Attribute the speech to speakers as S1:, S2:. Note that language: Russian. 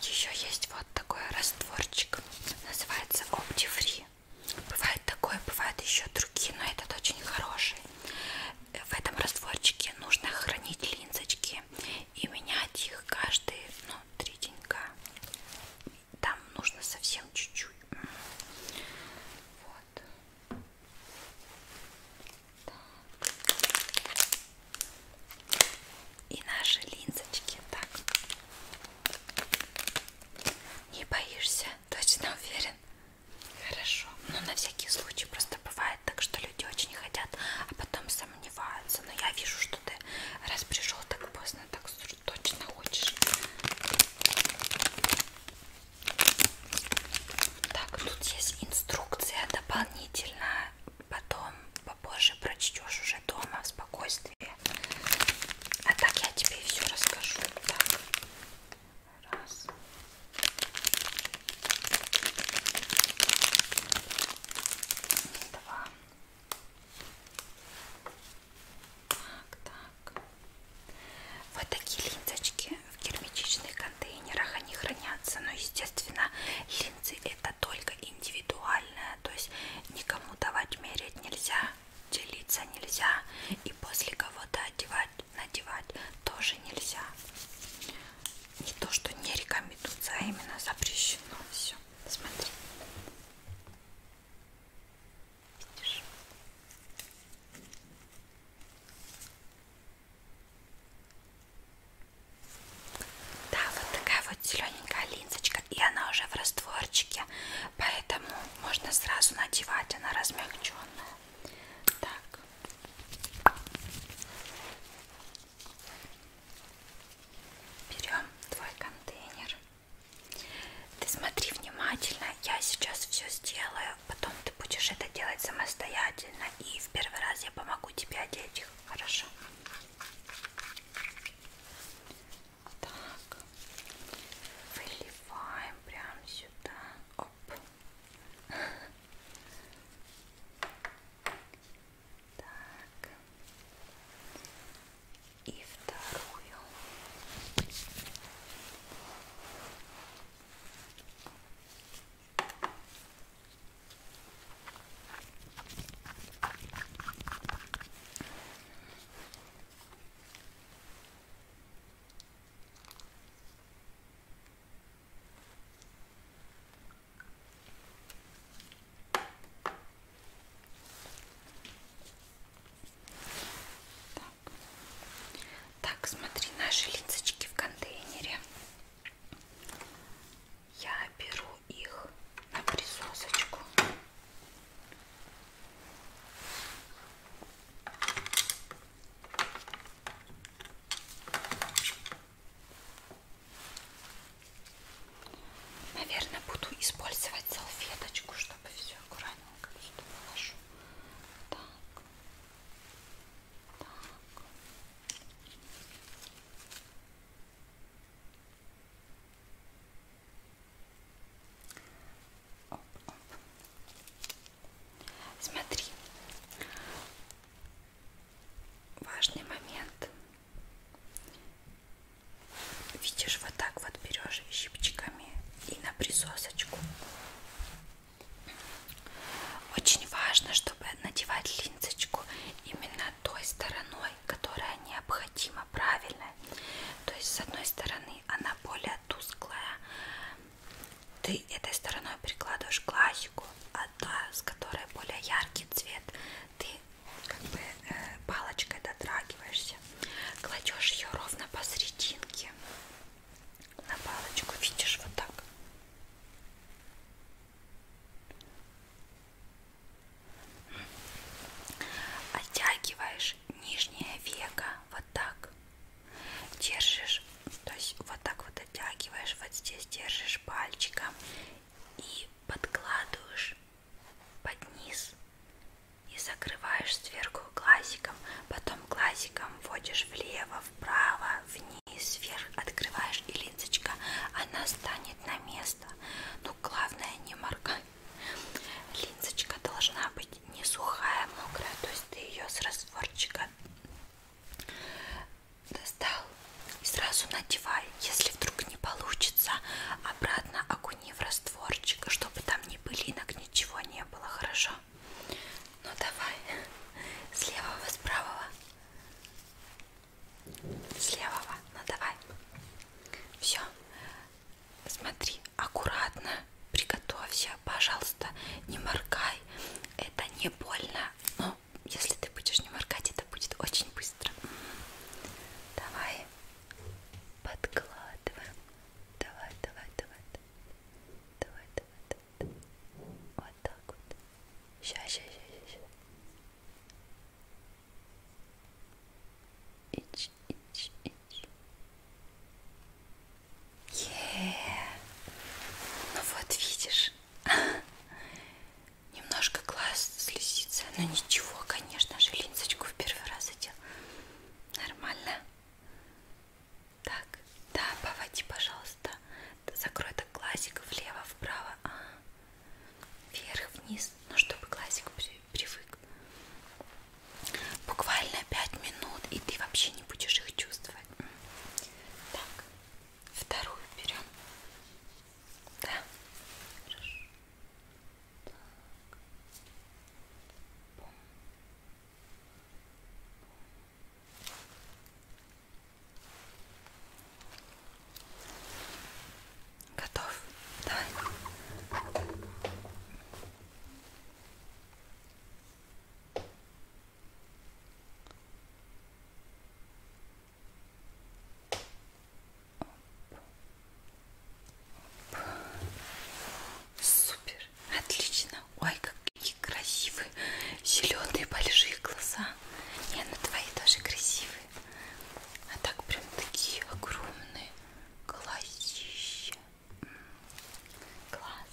S1: Еще есть вот такой растворчик, называется OptiFree. Бывает такое, бывают еще другие, но этот очень хороший. В этом растворчике нужно хранить линзочки и менять их каждые ну, три денька там нужно совсем чуть-чуть. Вот. Так. И наши линзочки. Так. Не боишься? Точно уверен? Хорошо. Но ну, на всякий случай просто бывает так, что люди очень хотят, а потом сомневаются. Но я вижу, что ты раз пришел так поздно, так точно хочешь. Так, тут есть инструкция дополнительная. Потом попозже прочтешь уже дома в спокойствии. А так я тебе все расскажу. Так. Раз. Два. Так, так. Вот такие линзочки в герметичных контейнерах они хранятся, но естественно линзы это только индивидуальная, то есть никому давать мерить нельзя, делиться нельзя и после кого-то одевать, надевать тоже нельзя. Не то, что не рекомендуется, а именно запрещено все. Смотри. Видишь? Да, вот такая вот зелененькая линзочка, и она уже в растворчике, поэтому можно сразу надевать, она размягченная. Так. Берем твой контейнер. Ты смотри внимательно, я сейчас все сделаю, потом ты будешь это делать самостоятельно, и в первый раз я помогу тебе одеть их, хорошо? Так, выливаем прям сюда, оп. Так. И вторую. Так. так, смотри, наши линзочки в контейнере. Я беру их на присосочку. Так. Наверное, буду использовать салфеточку, чтобы все аккуратненько сюда положу. Так. Так. Оп, оп. Смотри, важный момент. Видишь, вот так вот берешь щипчиками и на присосочку. Очень важно, чтобы надевать линзочку именно той стороной, которая необходима, правильно? То есть с одной стороны она более тусклая, ты этой стороной прикладываешь классику, а та, с которой более яркий цвет, ты как бы э, палочкой дотрагиваешься, кладешь ее ровно посерединке на палочку, видишь, вот так. Оттягиваешь нижнее веко вот так. Держишь, то есть вот так вот оттягиваешь, вот здесь держишь пальчиком и подкладываешь под низ и закрываешь сверху глазиком, потом глазиком вводишь влево, вправо, вниз, вверх, открываешь и линзочка, она станет на место. Но главное не моргай. Линзочка должна быть не сухая, а мокрая, то есть ты ее с растворчика достал и сразу надевай. Если вдруг не получится, обратно окуни в растворчик, чтобы там ни пылинок, ничего не было, хорошо? Ну давай, с левого, с правого, с левого, ну давай. Все, смотри, аккуратно приготовься, пожалуйста, не моргай, это не больно, но но если ты будешь не моргать, это будет очень быстро. Давай подкладываем. Давай, давай, давай. Давай, давай, давай. Вот так вот. Сейчас, сейчас, сейчас, сейчас. Ич, ич, ич. Е -е -е. Ну вот видишь, Немножко глаз слезится, но ничего, конечно же, линзочку в первый раз одел. Нормально. Так, да, поводи, пожалуйста. Закрой так глазик влево, вправо, а, вверх, вниз, ну чтобы глазик привык. Буквально 5 минут, и ты вообще не будешь их чувствовать. Так, Вторую берем. Да. Хорошо. Так. Бум. Бум. Готов. Давай. Оп. Оп. Супер, отлично. Ой, какие красивые зеленые большие глаза. И на ну твои тоже красивые. А так прям такие огромные глазища. Класс.